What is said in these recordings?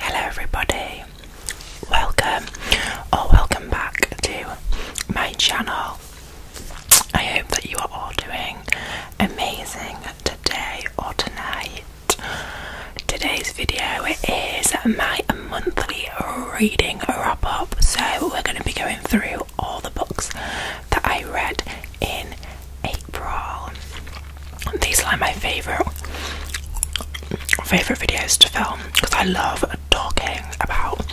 Hello, everybody, welcome or welcome back to my channel. I hope that you are all doing amazing today or tonight. Today's video is my monthly reading wrap up, so we're going to be going through all the books that I read in April. These are my favorite favorite videos to film because I love talking about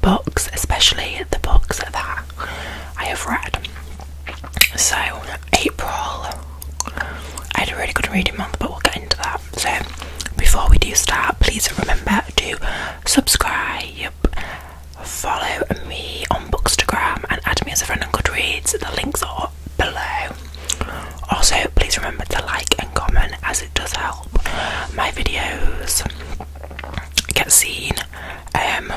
books, especially the books that I have read. So April, I had a really good reading month, but we'll get into that. So before we do start, please remember to subscribe, follow me on Bookstagram, and add me as a friend on Goodreads. The links are below. Also, please remember to like and comment as it does help my videos get seen. Um,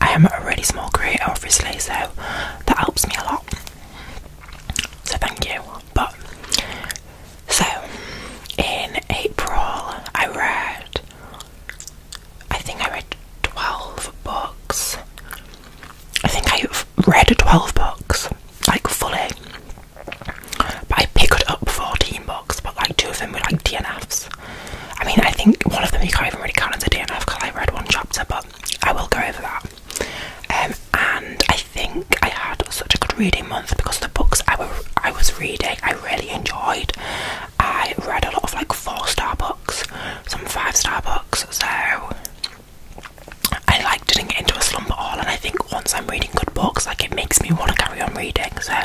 I am a really small creator, obviously, so that helps me a lot. So, thank you. But so in April, I read I think I read 12 books. I think I've read 12 books, like fully, but I picked up 14 books, but like two of them were like DNFs. I mean, I think one of them you can't even really count as a DNF because I read one chapter, but I will go over that. Um, and I think I had such a good reading month because the books I, were, I was reading I really enjoyed. I read a lot of like four star books, some five star books, so I like getting into a slumber all, and I think once I'm reading good books, like it makes me want to carry on reading. So I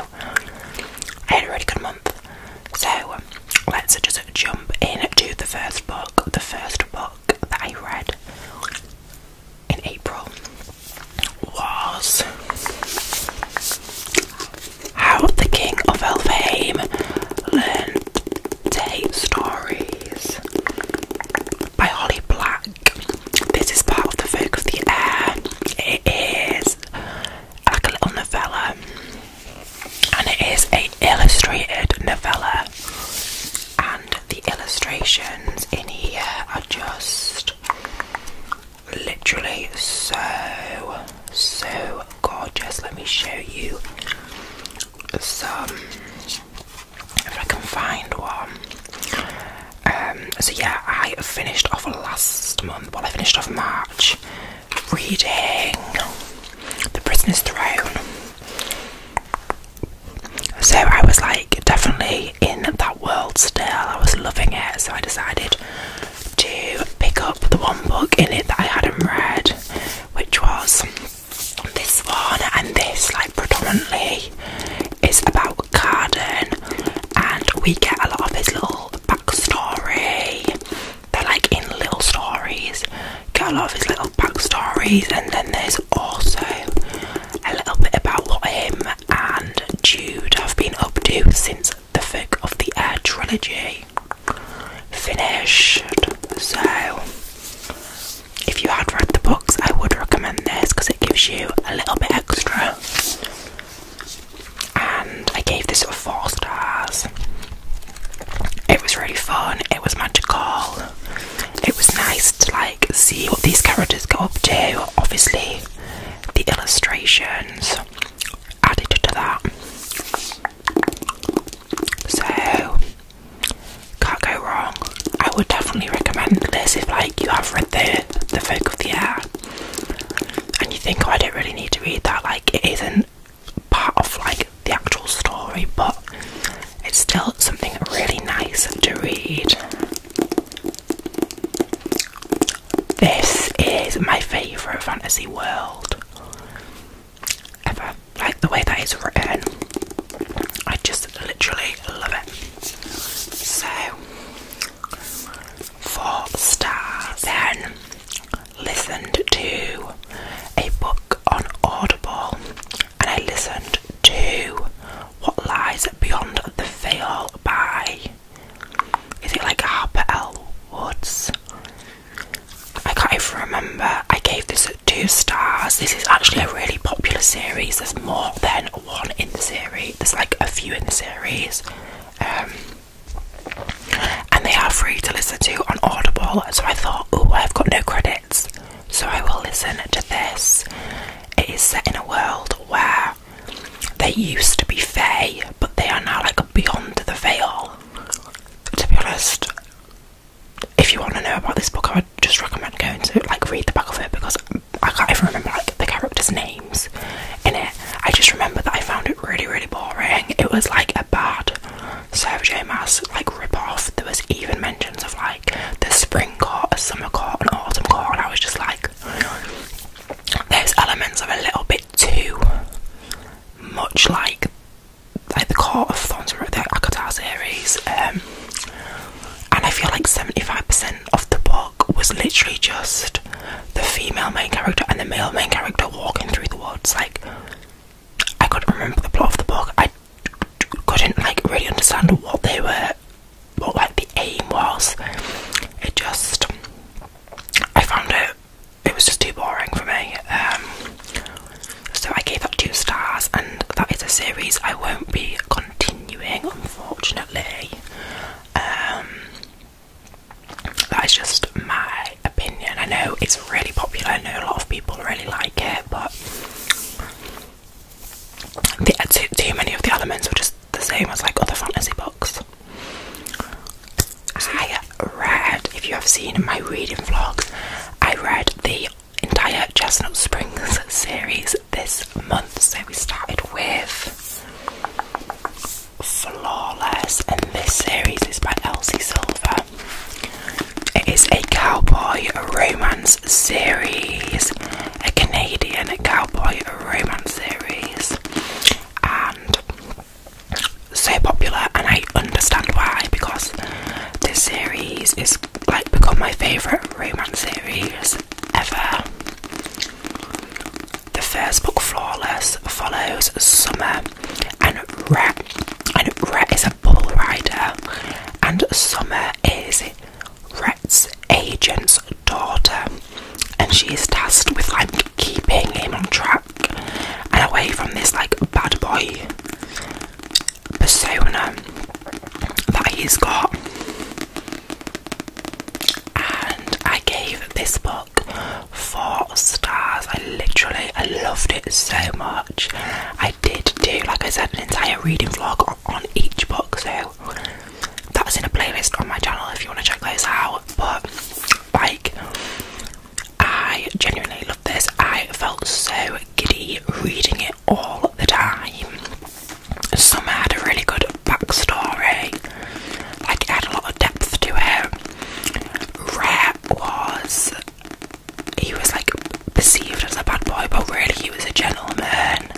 had a really good month. So um, let's just jump in to the first book. The first book that I read in April was How the King of Elfheim Learned to Hate Story by Holly Black. This is part of the Folk of the Air. It is like a little novella, and it is a illustrated novella. And the illustrations in here are just literally so so gorgeous. Let me show you some if I can find one. Um, so yeah, I finished off last month. Well, I finished off March reading *The Prisoner's Throne*. So I was like definitely in that world still. I was loving it, so I decided to pick up the one book in it that I hadn't read, which was this one and this, like predominantly, is about Carden, and we get a lot of his little backstory. They're like in little stories, get a lot of his little backstories, and then there's also a little bit about what him and Jude have been up to since the Fig of the Air trilogy finished. So if you had read the books, I would recommend this because it gives you a little bit extra. And I gave this sort four stars. It was really fun. It was magical. It was nice to like see what these characters go up to. Obviously, the illustrations added to that. So can't go wrong. I would definitely recommend this if like you have read the the folk of the air and you think oh I don't really need to read that, like it isn't part of like the actual story, but it's still something really nice to read. This is my favourite fantasy world ever like the way that is written. I just literally love it. So, four stars. Then listened to a book on Audible, and I listened to What Lies Beyond the Veil by. Is it like Harper L. Woods? I can't even remember. I gave this two stars. This is actually a really popular series. There's more than one in the series. There's like a few in the series. Um, and they are free to listen to on Audible. So I thought, oh, I've got no credits. So I will listen to this. It is set in a world where they used to be Fae, but they are now like beyond the veil. To be honest, if you want to know about this book, I would just recommend going to like read the back of it because I can't even remember like the characters' names in it. I just remember that I found it really, really boring. It was like a bad Sarah Mass like rip off. There was even mentions of like the spring court, a summer court, an autumn court, and I was just like, those elements are a little bit too much like like the court of thorns were the Akatars series, um, and I feel like 75% of the book was literally just the female main character and the male main character walking through the woods. Like, I couldn't remember the plot of the book. I couldn't like really understand what they were, what like the aim was. It just, I found it, it was just too boring for me. Um, so I gave that two stars, and that is a series I won't be continuing, unfortunately. Um, that is just my opinion. I know it's really popular, I know a lot of people really like it, but too, many of the elements were just the same as like other fantasy books. I read, if you have seen my reading vlogs, I read the entire Chestnut Springs series this month. So we started with Flawless, and this series is by Elsie Silver. It is a cowboy romance series, a Canadian cowboy romance series, and so popular. And I understand why because this series is like become my favourite romance series ever. The first book, Flawless, follows Summer and Ret. And Ret is a bull rider, and Summer is Ret's agent's daughter, and she is tasked with like keeping him on track and away from this like bad boy persona that he's got. And I gave this book four stars. I literally I loved it so much. I did do, like I said, an entire reading vlog on each book, so that's in a playlist on my channel if you want to check those out. But like I genuinely love this. I felt so giddy reading it all the time. Summer had a really good backstory, like it had a lot of depth to it. Rhett was, he was like perceived as a bad boy, but really he was a gentleman.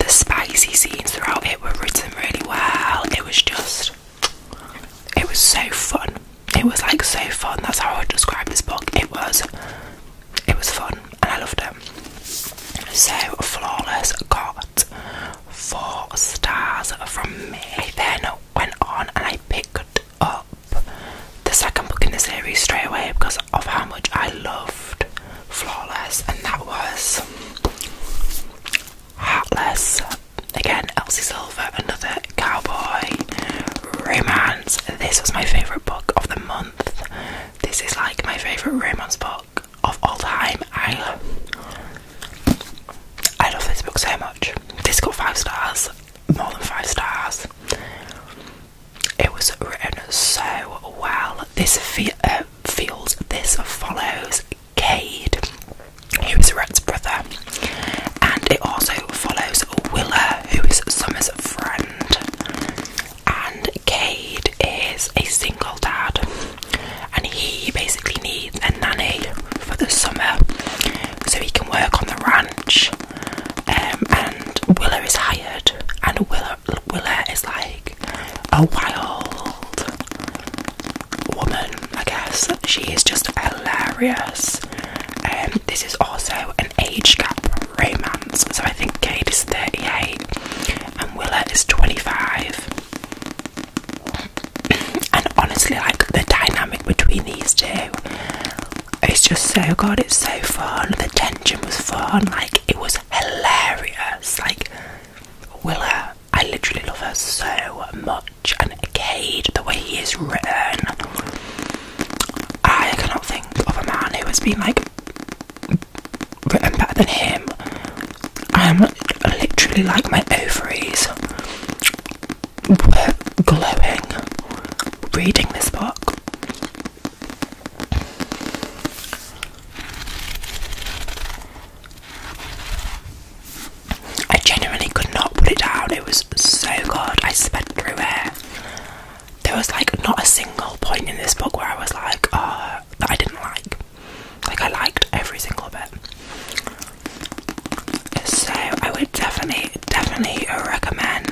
The spicy scenes throughout it were written really well. It was just, it was so fun. It was like so fun. That's how I would describe this book. It was it was fun and I loved it. So Flawless got four stars from me. I then went on and I picked up the second book in the series straight away because of how much I loved Flawless, and that was Heartless. Again, Elsie Silver, another cowboy. Rima this was my favourite book of the month. This is like my favourite romance book of all time. I I love this book so much. This got five stars, more than five stars. It was written so well. This uh, feels this follows Cade, who is Red's brother, and it also follows Willa, who is Summer's friend husband, and Cade is a single dad, and he basically needs a nanny for the summer so he can work on the ranch. Um, and Willa is hired, and Willa, Willa is like a wild woman, I guess. She is just hilarious. Um, this is also an age gap romance, so I think Kate is 38 and Willa is 25. And honestly, like the dynamic between these two, it's just so good, it's so fun. The tension was fun, like it was hilarious. Like, Willa, I literally love her so much, and Kate, the way he is written. I cannot think of a man who has been like written better than him. I am literally like my ovaries were glowing reading this book. I genuinely could not put it down. It was so good. I spent through it there was like not a single point in this book where I was like, uh, that I didn't like. Like I liked every single bit. So I would definitely, definitely recommend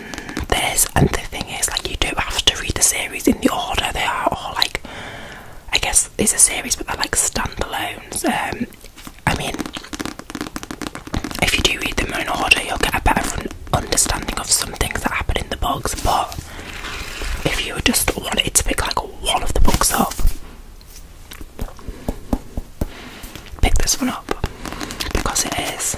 this. And the thing is, like, you do have to read the series in the order they are, All like, I guess it's a series, but they're like standalones. Um, I mean, if you do read them in order, you'll get a better understanding of some things that happen in the books. But if you just wanted to pick like one of the books up, pick this one up because it is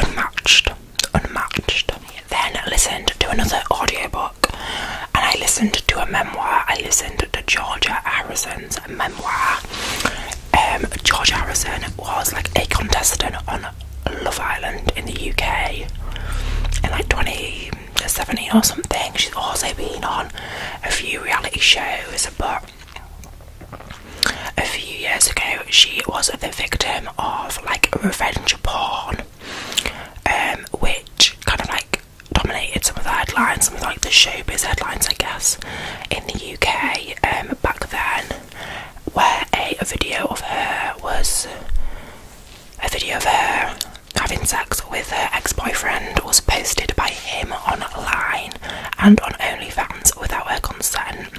unmatched. Unmatched. Then listened to another audiobook and I listened to a memoir. I listened to Georgia Harrison's memoir. Um, Georgia Harrison was like a contestant on Love Island in the UK in like 2017 or something. She's also been on a few reality shows, but a few years ago she was the victim of like revenge porn, um, which kind of like dominated some of the headlines, some of like the showbiz headlines, I guess, in the UK um, back then, where a, a video of her was a video of her having sex with her ex-boyfriend was posted by him online and on OnlyFans without her consent.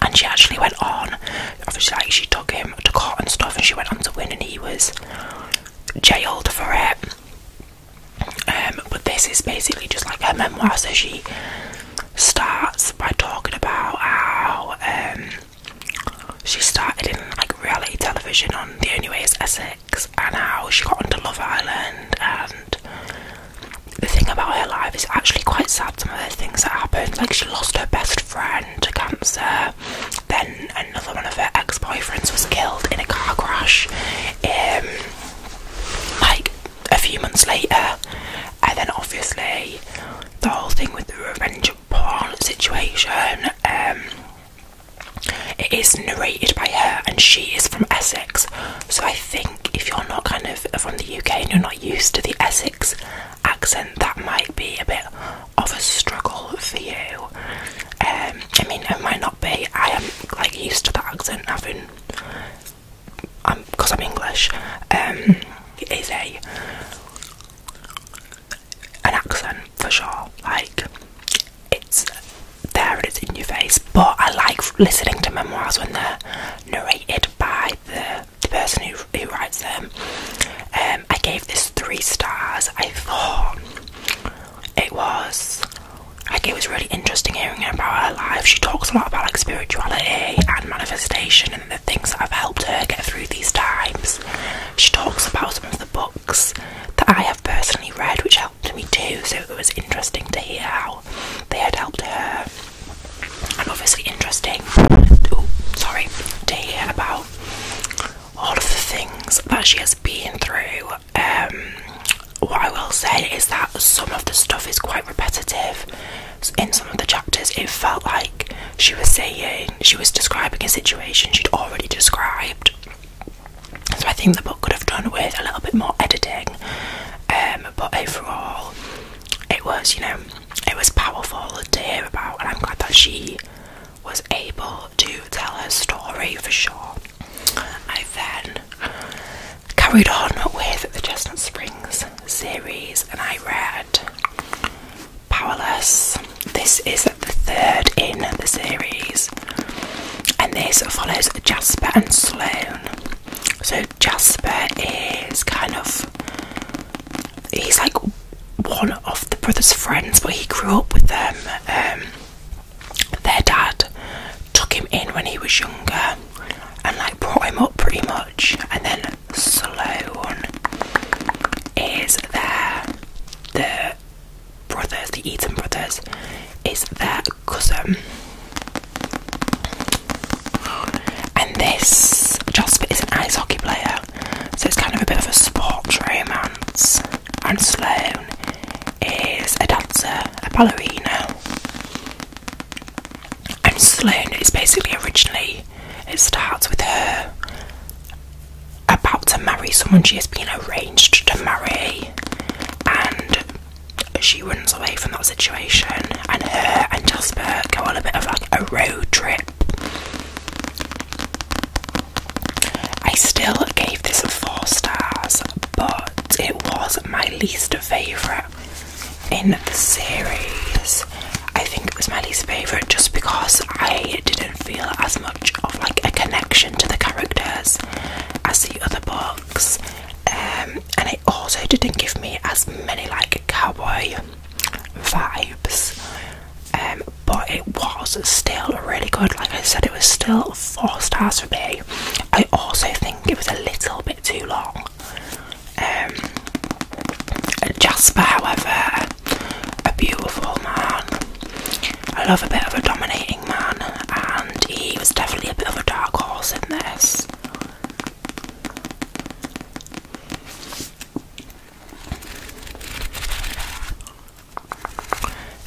And she actually went on, obviously, like she took him to court and stuff, and she went on to win, and he was jailed for it. Um, but this is basically just like her memoir. So she starts by talking about how um, she started in like reality television on The Only Way Is Essex, and how she got onto Love Island. And the thing about her life is actually quite sad. Some of the things that happened, like she lost her best friend to cancer, then another one of her ex-boyfriends was killed in a car crash. Um, like a few months later, and then obviously the whole thing with the revenge porn situation. Um, it is narrated by her, and she is from Essex. So I think if you're not kind of from the UK and you're not used to the Essex accent, that might be a bit of a struggle for you. Um, I mean, it might not be. I am like used to the accent I've having, um, because I'm English. it um, is a an accent for sure. Like it's there and it's in your face. But I like listening to memoirs when they're narrated by the the person who who writes them. Um, I gave this three stars. I thought it was like it was really interesting hearing about her life. She talks a lot about like spirituality and manifestation and the things that have helped her get through these times. She talks about some of the books that I have personally read, which helped me too. So it was interesting to hear how they had helped her, and obviously interesting. sorry to hear about all of the things that she has been through. Um, what I will say is that some of the stuff is quite repetitive. In some of the chapters, it felt like she was saying, she was describing a situation she'd already described. So I think the book could have done with a little bit more editing. Um, but overall, it was, you know, it was powerful to hear about, what I'm glad that she was able to tell her story for sure. I then carried on with the Chestnut Springs series and I read Powerless. This is the third in the series, and this follows Jasper and Sloan. So, Jasper is kind of he's like one of the brother's friends, but he grew up with them. Um, their dad took him in when he was younger and like brought him up pretty much and then Sloan is their the brothers, the Eaton brothers is their cousin and this Jasper is an ice hockey player so it's kind of a bit of a sports romance and Sloane is a dancer, a ballerina. And Sloane is basically originally, it starts with her about to marry someone she has been arranged to marry, and she runs away from that situation. And her and Jasper go on a bit of like a road trip. I still gave this four stars, but it was my least favourite in the series. I think it was my least favourite just because I didn't feel as much of like a connection to the characters as the other books. Um, and it also didn't give me as many like cowboy vibes um, but it was still really good. Like I said, it was still four stars for me. I also think it was a little bit too long. Um, Jasper, however, a beautiful man. I love a bit of a dominating man, and he was definitely a bit of a dark horse in this.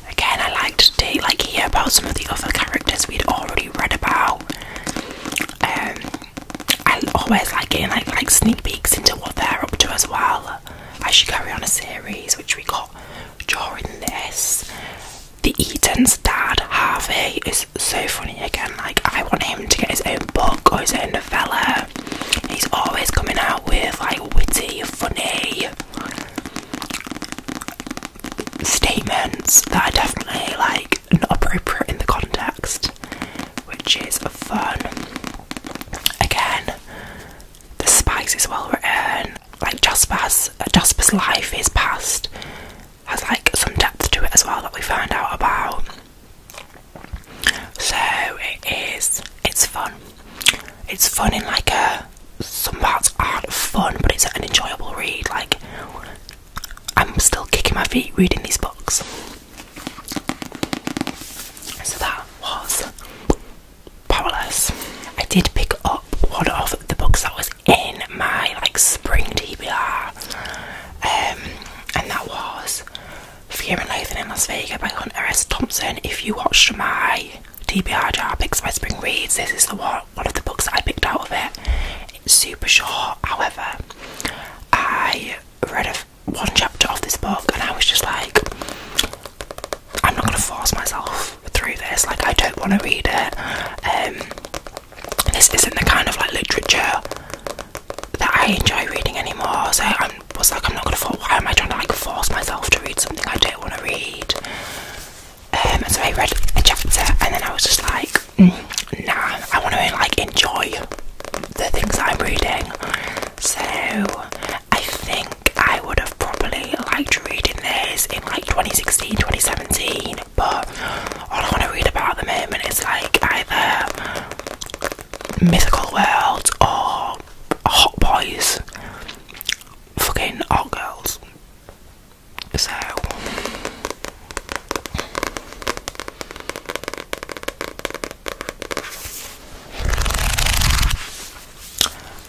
Again, I like to like hear about some of the other characters we'd already read about. Um, I always like getting like like sneak peeks into what they're up to as well. I should carry on a series which we got during this. The Eaton's dad, Harvey, is so funny again. Like I want him to get his own book or his own novella. He's always coming out with like witty, funny statements that are definitely like not appropriate in the context, which is fun. Again, the spice is well written. Like Jasper's, uh, Jasper's life, is past has like some depth to it as well that we find out about. So it is, it's fun it's fun in like a some parts aren't fun, but it's an enjoyable read. Like I'm still kicking my feet reading these books. So that was powerless. I did pick up one of the books that was in my like spring TBR, um, and that was Fear and Loathing in Las Vegas by Hunter S. Thompson. If you watched my TBR jar picks by spring reads. This is the one one of the books that I picked out of it. It's super short. However, I read a, one chapter of this book and I was just like, I'm not gonna force myself through this. Like I don't want to read it. Um, this isn't the kind of like literature that I enjoy reading anymore. So I was like, I'm not gonna. Why am I trying to like force myself to read something I do? not I want to read. Um, so I read a chapter and then I was just like, mm, I want to like enjoy the things I'm reading. So I think I would have probably liked reading this in like 2016, 2017, but all I want to read about the moment is like either Mythical worlds or Hot Boys fucking all girls. So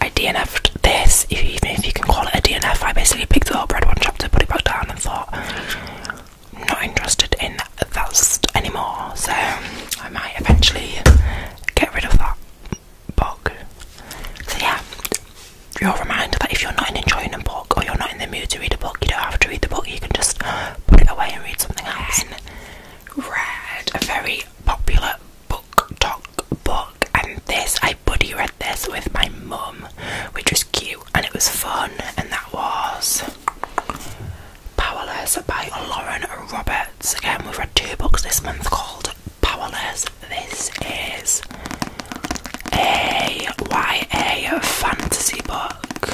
I DNF'd this, if even if you can call it a DNF. I basically picked the whole bread one chapter, put it back down, and thought, not interested in that anymore. So I might eventually get rid of that book. So yeah, you're reminded that if you're not enjoying a book or you're not in the mood to read a book, you don't have to read the book. You can just put it away and read something else. And read a very popular book talk book, and this I buddy read this with my mum, which was cute and it was fun, and that was. Powerless by Lauren Roberts. Again, we've read two books this month called powerless. This is a YA fantasy book.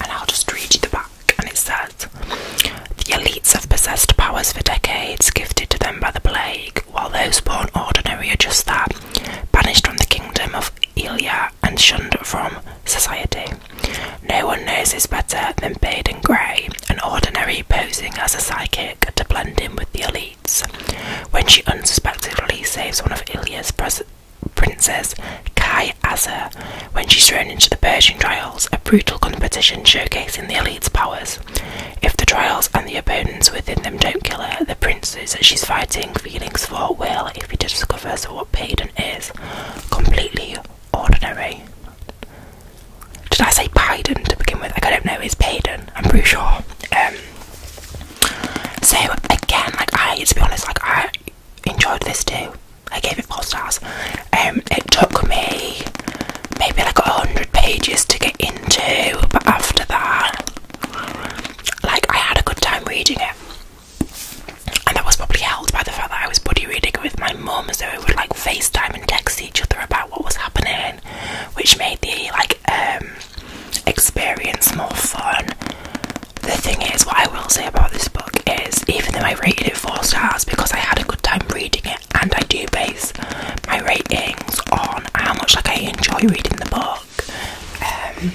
And I'll just read you the back, and it says The elites have possessed powers for decades, gifted to them by the plague, while those born ordinary are just that, banished from the kingdom of Ilya and shunned from society. No one knows this better than Baden Gray, an ordinary posing as a psychic to blend in with the elites. When she unsuspectingly saves one of Ilya's princes, Kai Azar, when she's thrown into the Persian trials, a brutal competition showcasing the elite's powers. If the trials and the opponents within them don't kill her, the princes she's fighting feelings for will if he discovers what Baden is completely ordinary. Did I say Payden to begin with? I don't know, Is Payden? I'm pretty sure. Um, so, again, like, I, to be honest, like, I enjoyed this too. I gave it four stars. Um, it took me maybe like a hundred pages to get into, but after that, like, I had a good time reading it. And that was probably helped by the fact that I was buddy reading with my mum, so we would like FaceTime and text each other about what was happening, which made the like um, experience more fun. The thing is, what I will say about this book is, even though I rated it four stars because I had a good time reading it, and I do base my ratings on how much like I enjoy reading the book. Um,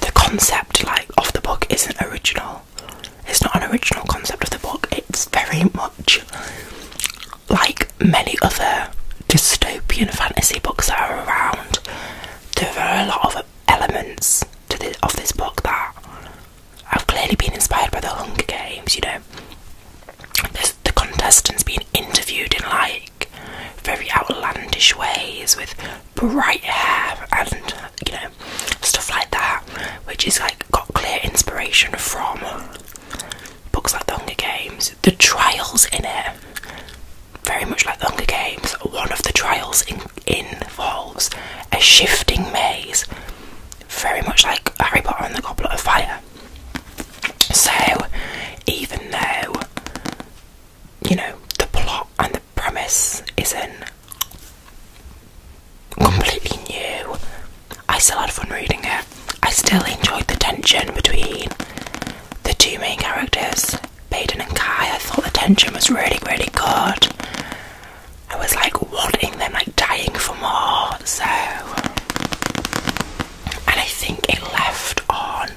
the concept like of the book isn't original. It's not an original concept of the book. It's very much like many other dystopian fantasy books that are around. There are a lot of elements of this book that have clearly been inspired by the Hunger Games. You know, There's the contestants being interviewed in like very outlandish ways with bright hair and you know stuff like that, which is like got clear inspiration from books like The Hunger Games. The trials in it, very much like The Hunger Games, one of the trials in, involves a shifting maze, very much like Harry Potter and the Goblet of Fire. So, even though you know, the plot and the premise isn't completely new. I still had fun reading it. I still enjoyed the tension between the two main characters, Baden and Kai. I thought the tension was really, really good. I was like wanting them, like dying for more. So, and I think it left on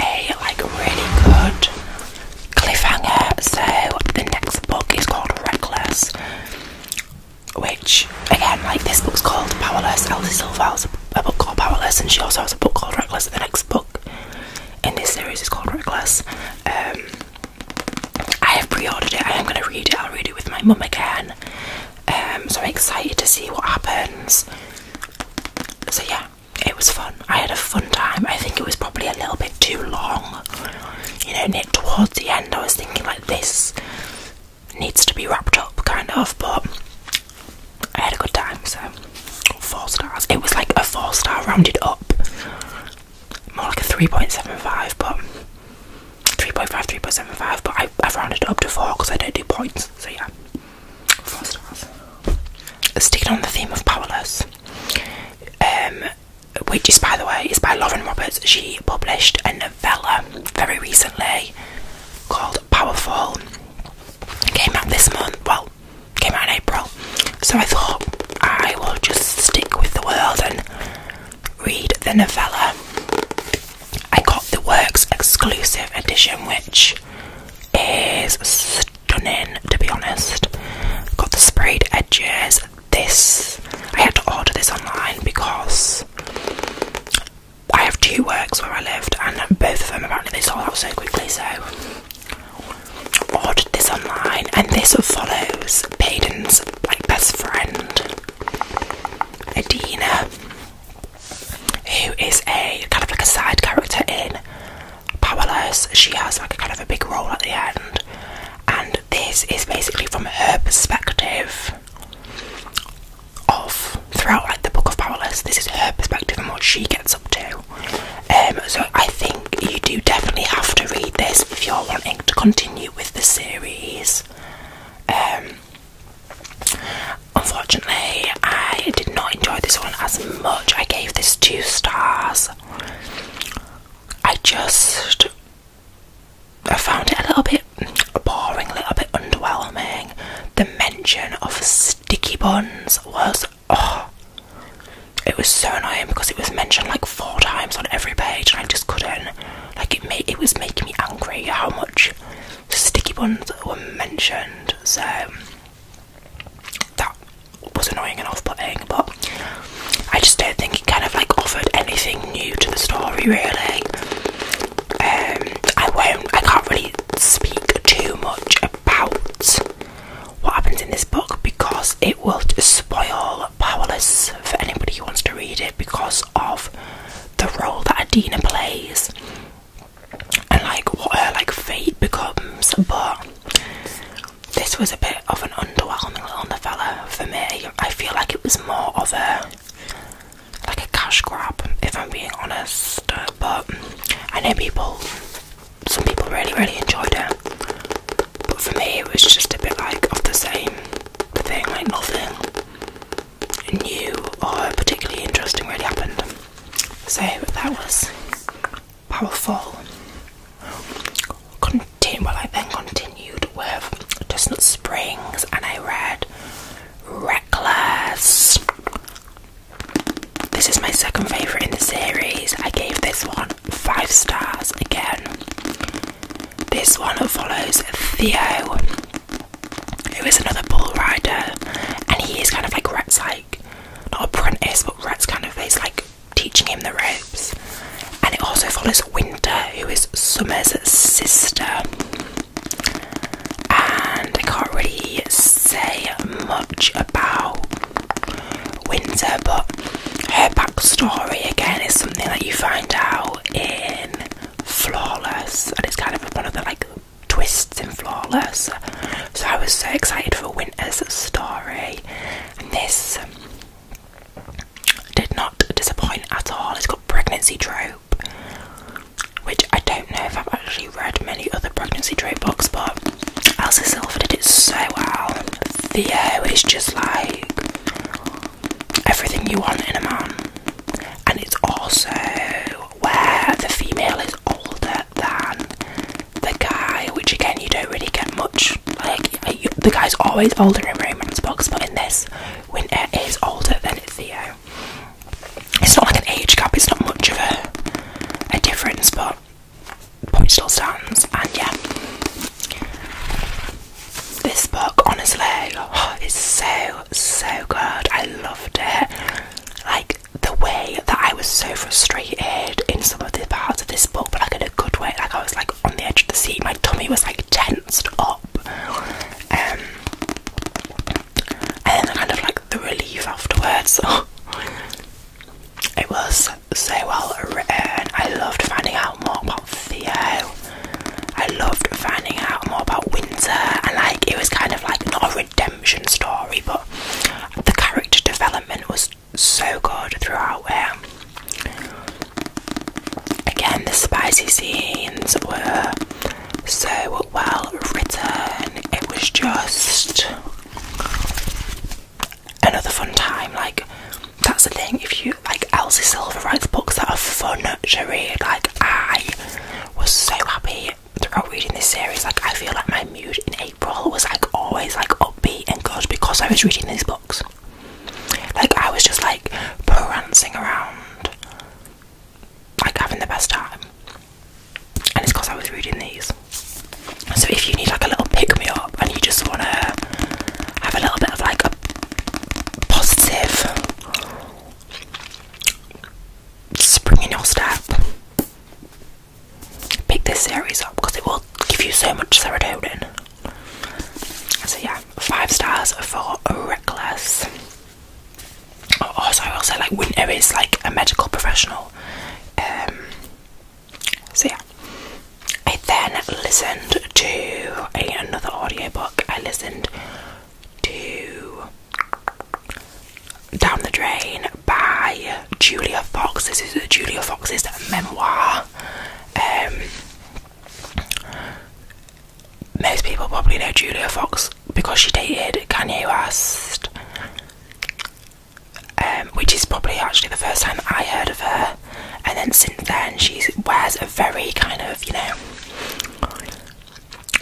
a like really good cliffhanger. So the next book is called Reckless, which again, like this book's called Powerless. Elsie Silva has a book called Powerless, and she also has a book called Reckless. The next book in this series is called Reckless. Um, I have pre-ordered it. I am going to read it. I'll read it with my mum again. Um, so I'm excited to see what happens. So yeah, it was fun. I had a fun time. I think it was probably a little bit too long. You know, Nick, towards the end, I was thinking like this needs to be wrapped up, kind of, but I had a good time, so four stars. It was like a four star rounded up, more like a 3.75, but 3.5, 3.75, but I, I've rounded up to four because I don't do points, so yeah, four stars. it on the theme of powerless. Um, which is by the way is by Lauren Roberts. She published a novella very recently called Powerful. It came out this month. Well, came out in April. So I thought I will just stick with the world and read the novella. I got the Works exclusive edition, which is done in, to be honest. Got the sprayed edges. This, I had to order this online because I have two works where I lived, and both of them apparently they sold out so quickly, so ordered this online. And this follows Payden's like best friend, Adina, who is a kind of like a side character in powerless. She has like a kind of a big role at the end, and this is basically from her perspective of throughout like the book of powerless. This is her perspective and what she gets up to. Um, so I think you do definitely have to read this if you're wanting to continue with the series. Um, unfortunately, I did not enjoy this one as much. I gave this two stars I just I found it a little bit boring, a little bit underwhelming. The mention of sticky buns was oh it was so annoying because it was mentioned like four times on every page and I just couldn't like it it was making me angry how much sticky buns were mentioned so that was annoying and off-putting, but I just don't think it kind of like offered anything new to the story really. Um, I won't, I can't really speak too much about what happens in this book because it will spoil Powerless for anybody who wants to read it because of the role that Adina plays and like what her like fate becomes. But this was a bit of an underwhelming little novella for me. I feel like it was more of a like a cash grab, if I'm being honest. But I know people, some people really, really enjoyed it. But for me, it was just a bit like of the same thing, like nothing new or particularly interesting really happened. So that was powerful. Continue, well, I then continued with Chestnut Springs and I read Reckless. This is my second favourite in the series. I gave this one five stars again. This one follows Theo, who is another bull rider, and he is kind of like Rhett's, like not apprentice, but Rhett's kind of his like teaching him the ropes. And it also follows Winter, who is Summer's sister. And I can't really say much about Winter, but her backstory again is something that you find out in Flawless, and it's kind of one of the like twists in Flawless. So I was so excited for Winter's story and this did not disappoint at all. It's got pregnancy trope, which I don't know if I've actually read many other pregnancy trope books, but Elsa Silver did it so well. Theo is just like everything you want in a man, and it's also where the female is older than the guy, which again you don't really get much. Like the guy's always older in romance books, but in this, when it is older than Theo. It's not like an age gap. It's not much of a a difference, but point still stands. And yeah, this book honestly oh, is so so good. I loved it. Like the way that I was so frustrated in some of the parts of this book, but I could good way. Like I was like on the edge of the seat. My tummy was like tensed up. Um, and then kind of like the relief afterwards. it was so well written. I loved finding out more about Theo. I loved finding out more about Winter, and like it was kind of like not a redemption story, but the character development was so good throughout Again, the spicy scenes were so well written. It was just another fun time. Like that's the thing. If you like Elsie Silver writes books that are fun to read. Like I was so happy throughout reading this series. Like I feel like my mood April was like always like upbeat and good because I was reading these books. Like I was just like prancing around, like having the best time. And it's because I was reading these. So if you need like a little pick me up and you just wanna have a little bit of like a positive spring in your step, pick this series up because it will give you so much serotonin. So yeah, five stars for Reckless. Oh, also, I will say like Winter is like a medical professional. Um, so yeah, I then listened to a, another audiobook. I listened to Down the Drain by Julia Fox. This is Julia Fox's memoir. Um, most people probably know Julia Fox because she dated Kanye West, um, which is probably actually the first time I heard of her. And then since then, she wears a very kind of, you know,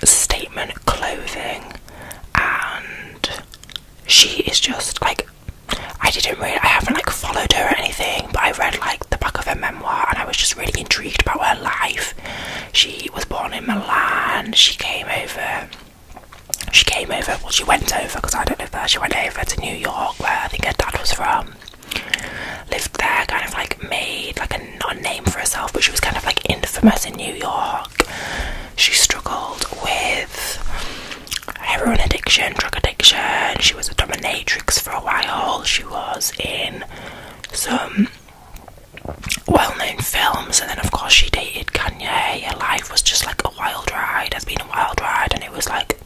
statement clothing, and she is just like I didn't read. I haven't like followed her or anything, but I read like the back of her memoir and I was just really intrigued about her life. She was born in Milan, she came over. She came over, well, she went over because I don't know if she went over to New York, where I think her dad was from. Lived there, kind of like made like a non name for herself, but she was kind of like infamous in New York. She struggled with heroin addiction, drug addiction. She was a dominatrix for a while. She was in some well known films, and then, of course, she dated Kanye. Her life was just like a wild ride, has been a wild ride, and it was like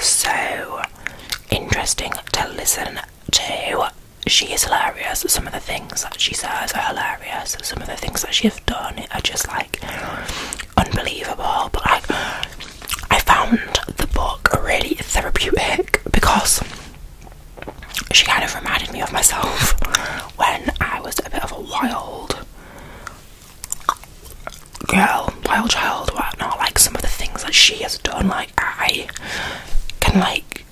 so interesting to listen to. She is hilarious. Some of the things that she says are hilarious. Some of the things that she's done are just like unbelievable. But like, I found the book really therapeutic because she kind of reminded me of myself when I was a bit of a wild girl, wild child, whatnot. Like some of the things that she has done, like I can like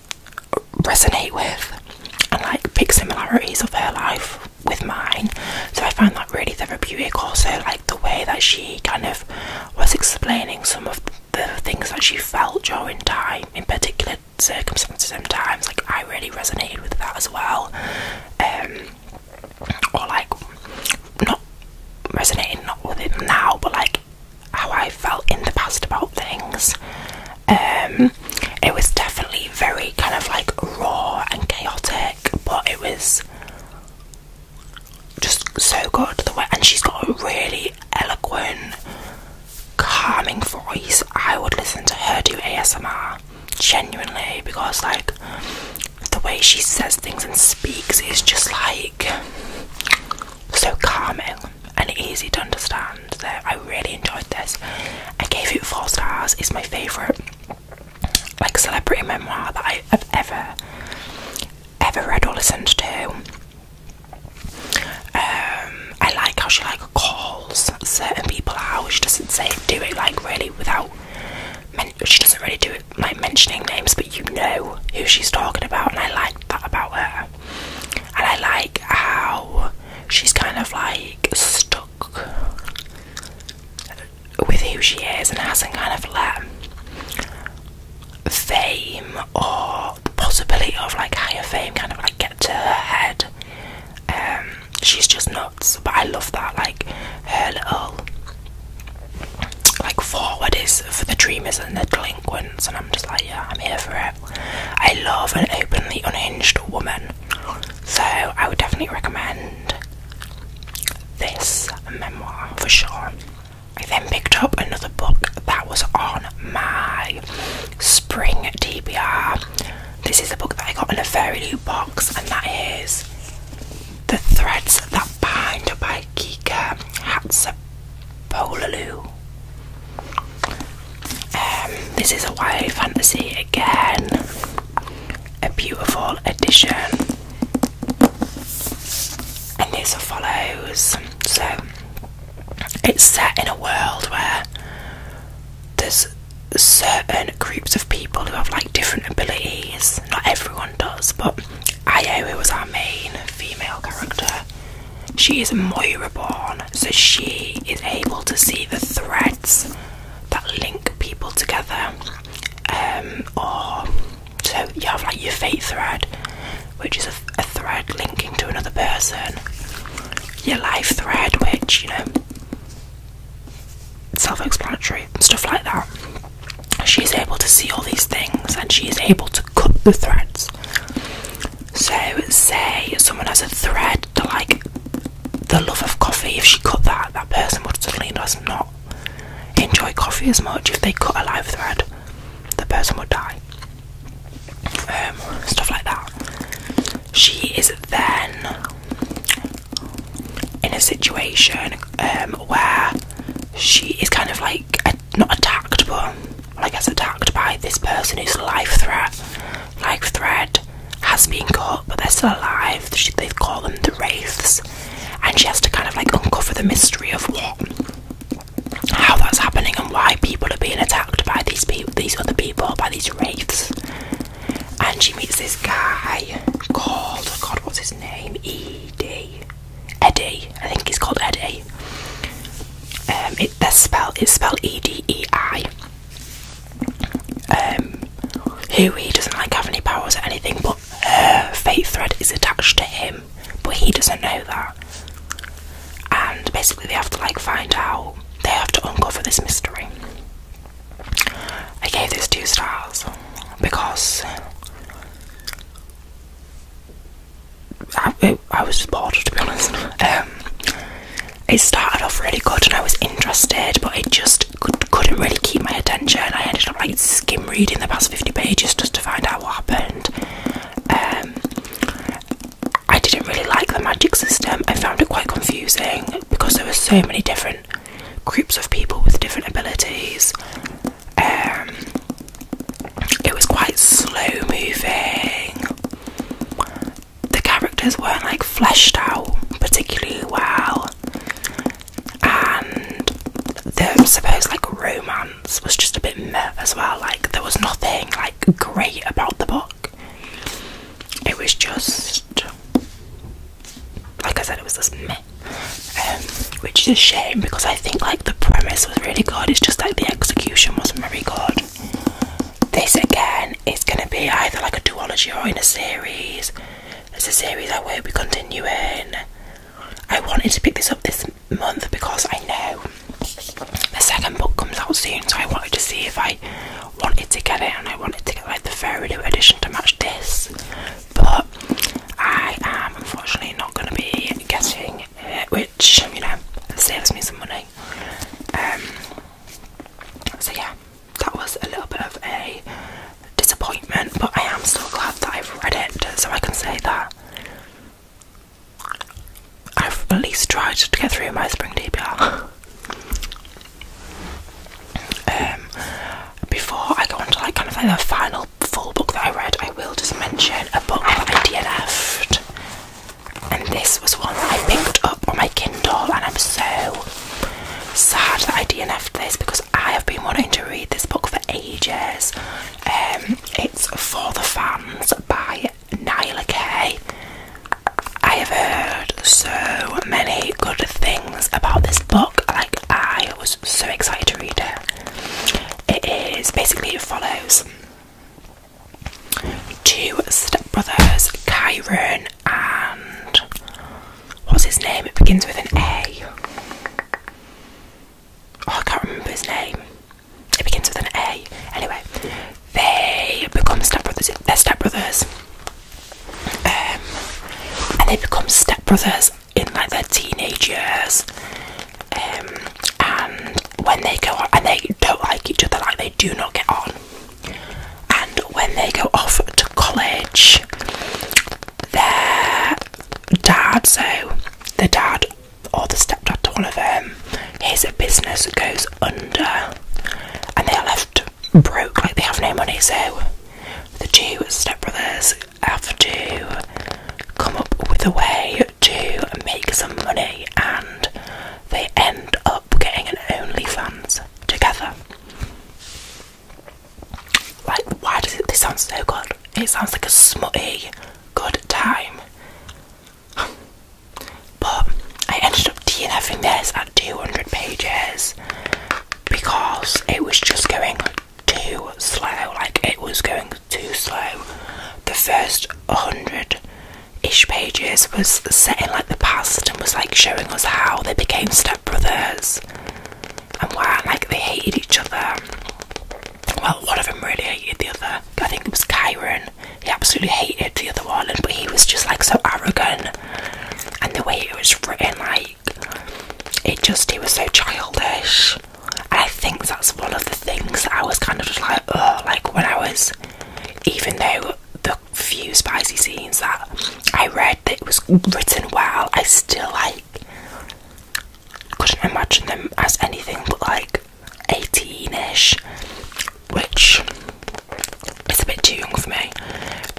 resonate with and like pick similarities of her life with mine. So I found that really therapeutic. Also, like the way that she kind of was explaining some of the things that she felt during time, in particular circumstances and times. Like I really resonated with that as well. Um, or like not resonating not with it now, but like how I felt in the past about things. Um, it was definitely very, kind of like raw and chaotic, but it was just so good. The way, and she's got a really eloquent, calming voice. I would listen to her do ASMR genuinely because, like, the way she says things and speaks is just like so calming and easy to understand. That I really enjoyed this. I gave it four stars. It's my favorite like celebrity memoir that I have ever ever read or listened to. Um, I like how she like calls certain people out. She doesn't say do it like really without. she doesn't really do it like mentioning names, but you know who she's talking about, and I like that about her. And I like how she's kind of like stuck with who she is and hasn't kind of let fame or the possibility of like higher fame kind of like get to her head. Um, she's just nuts, but I love that. Like her little like forward is for the dreamers and the delinquents, and I'm just like, yeah, I'm here for it. I love an openly unhinged woman, so I would definitely recommend this memoir for sure. I then picked up another book that was on my spring DBR. This is a book that I got in a very new box, and that is The Threads That Bind by Kika Hatsapolalu. Um, this is a YA fantasy again a beautiful edition, and this follows. So it's set in a world where there's certain groups of people who have like different abilities. Not everyone does, but Io, was our main female character, she is Moira born, so she is able to see the threads that link people together um, or so you have like your fate thread, which is a, thread linking to another person, your life thread, which you know, self explanatory, stuff like that. She's able to see all these things and she is able to cut the threads. So, say someone has a thread to like the love of coffee, if she cut that, that person would suddenly that's not enjoy coffee as much. If they cut a life thread, the person would die. Um, stuff like that. She is then in a situation um, where she is kind of like not attacked, but like as attacked by this person whose life threat, life thread has been cut, but they're still alive. They call them the wraiths and she has to kind of like uncover the mystery of what, how that's happening, and why people are being attacked by these people, these other people, by these wraiths. And she meets this guy called God, what's his name? Ed. Eddie, I think it's called Eddie. Um, it, the spell is spelled E D E I. Um, who he doesn't like have any powers or anything, but her fate thread is attached to him, but he doesn't know that. And basically, they have to like find out, they have to uncover this mystery. I gave this two stars because I, was bored to be honest. Um, it started off really good and I was interested, but it just couldn't really keep my attention. I ended up like skim reading the past 50 pages just to find out what happened. Um, I didn't really like the magic system. I found it quite confusing because there were so many different groups of people with different abilities. Um, it was quite slow moving. The characters weren't like fleshed out particularly well and the supposed like romance was just a bit meh as well. Like there was nothing like great about the book. It was just like I said, it was just meh. Um, which is a shame because I think like the premise was really good. It's just like the execution wasn't very good. This again is gonna be either like a duology or in a series. It's a series I will be continuing. I wanted to pick this up this month because I know the second book comes out soon, so I wanted to see if I wanted to get it and I wanted to get like the very new edition to match this. But I am unfortunately not going to be getting it, which, you know, saves me some money. Um, so yeah, that was a little bit of a disappointment, but I am still glad that I've read it so I can say that I've at least tried to get through my spring DBR. Um, before I go on to like kind of say the final full book that I read, I will just mention a book I dnf left, and this was one I picked up on my Kindle, and I'm so sad that I DNF'd this because I have been wanting to read this book for ages. Um, it's For the Fans by Nyla Kay. I have heard so many good things about this book, like, I was so excited to read it. It is basically, it follows two stepbrothers, Kyron and What's his name? It begins with an A. Oh, I can't remember his name. It begins with an A. Anyway, they become stepbrothers. They're stepbrothers. Um, and they become stepbrothers in like their teenage years. Um, and when they go on, and they don't like each other, like they do not get on. And when they go off to college, their dad, so the dad or the stepdad to one of them, his business goes under and they are left broke, like they have no money. So the two stepbrothers have to come up with a way to make some money and they end up getting an OnlyFans together. Like, why does it? This sounds so good. It sounds like a smutty good time. But I ended up DNFing this at 200 pages because it was just going too slow. Like, it was going too slow. The first 100 ish pages was set in like the past and was like showing us how they became stepbrothers and where like they hated each other. Well, one of them really hated the other. I think it was Kyron. He absolutely hated the other one, but he was just like so arrogant. And the way it was written, like it just he was so childish. I think that's one of the things that I was kind of just like, oh, like when I was, even though the few spicy scenes that I read that it was written well, I still like couldn't imagine them as anything but like 18ish, which is a bit too young for me.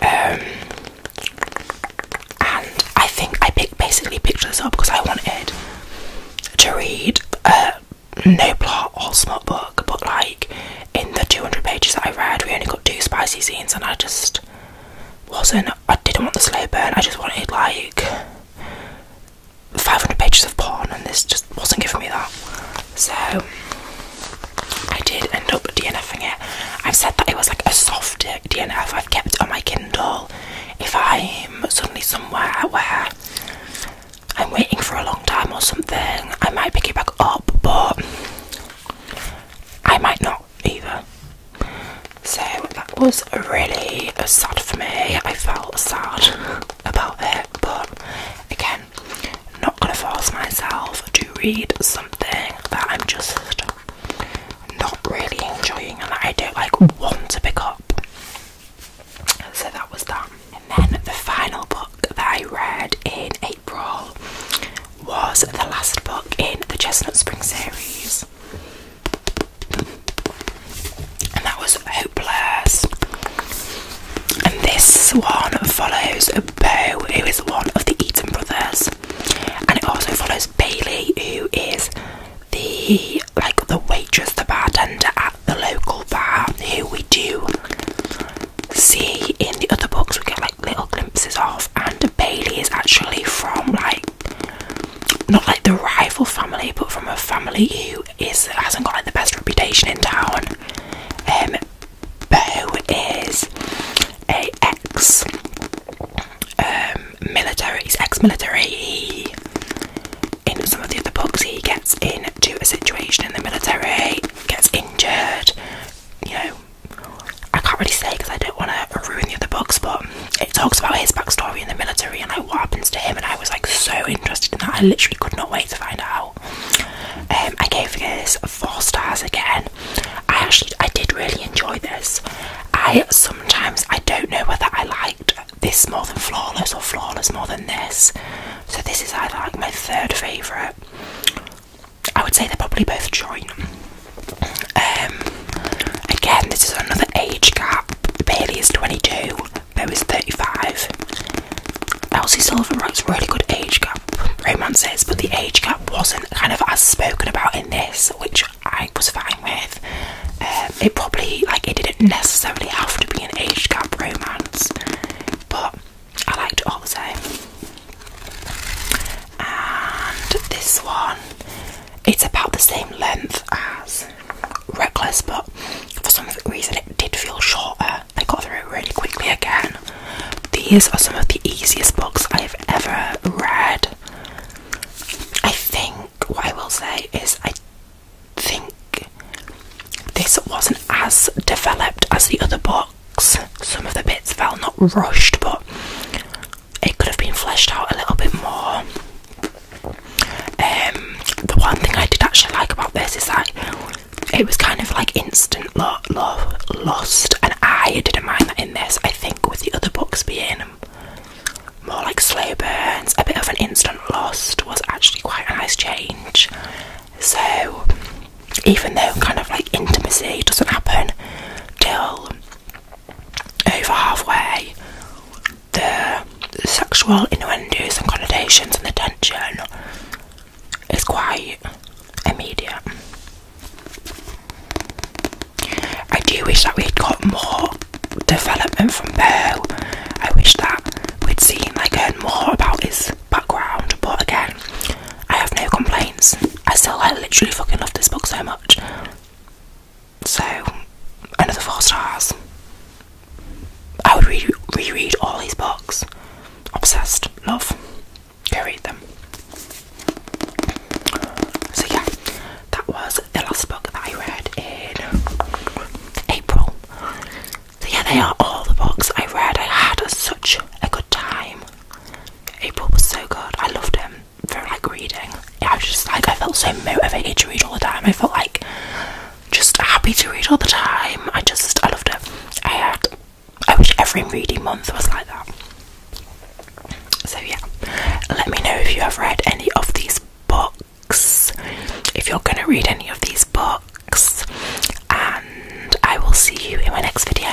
Um, and I think I picked, basically picked this up because I wanted to read a uh, no plot or smart book, but like in the 200 pages that I read, we only got two spicy scenes, and I just wasn't I didn't want the slow burn, I just wanted like 500 pages of porn, and this just wasn't giving me that. So I did end up DNFing it. I've said that it was like a soft DNF I've kept on my Kindle. If I'm suddenly somewhere where I'm waiting for a long time or something, I might pick it back up, but I might not either. So that was really sad for me. I felt sad about it, but again, I'm not gonna force myself to read something that I'm just not really enjoying and I don't like want to pick up. So that was that. And then the final book that I read in April was the last book in the Chestnut Spring series. And that was Hopeless. And this one follows Bo, who is one of the Eaton brothers. And it also follows Bailey, who is the like the waitress, the bartender at the local bar, who we do see in the other books. We get like little glimpses of. And Bailey is actually from like not like the rival family, but from a family who is hasn't got like the best reputation in town. Um, Bo is a ex um, military. He's ex-military. in some of the other books, he gets into a situation in the military, gets injured, you know, I can't really say because I don't want to ruin the other books, but it talks about his backstory in the military and like what happens to him. And I was like so interested in that. I literally could not wait to find out. Um, I gave this four stars again. I actually I did really enjoy this. I sometimes I don't know whether I liked this more than flawless or flawless more than this. So this is either like my third favourite. I would say they're probably both joint. Um, again, this is another age gap. Bailey is 22, Bo is 35. Elsie Silver writes really good age gap romances, but the age gap wasn't kind of as spoken about in this, which I was fine with. Um, it probably, like, it didn't necessarily have to be an age gap romance, but I liked it all the same. And this one, it's about the same length as Reckless, but for some reason it did feel shorter. I got through it really quickly again. These are some of the easiest books I've ever read. I think what I will say is, I think this wasn't as developed as the other books. Some of the bits felt not rushed, but it could have been fleshed out a little bit more. Um, the one thing I did actually like about this is that it was kind of like instant love, lost, and I didn't mind that in this. I think with the other books being more like slow burns, a bit of an instant lost was actually quite a nice change. So even though kind of like intimacy doesn't happen till over halfway, the sexual innuendos and connotations and the tension is quite immediate. I do wish that we'd got more development from Beau. I wish that we'd seen like heard more about his background, but again, I have no complaints. I still like literally fucking love this book so much. So, another four stars. I would reread all these books. Obsessed, love. Go read them. So yeah, that was the last book that I read in April. So yeah, they are all the books I read. I had such a good time. April was so good. I loved him for like reading. I was just like I felt so motivated to read all the time. I felt like just happy to read all the time. I just I loved it. I had I wish every reading month was like that. So yeah. Let me know if you have read any of these books. If you're gonna read any of these books and I will see you in my next video.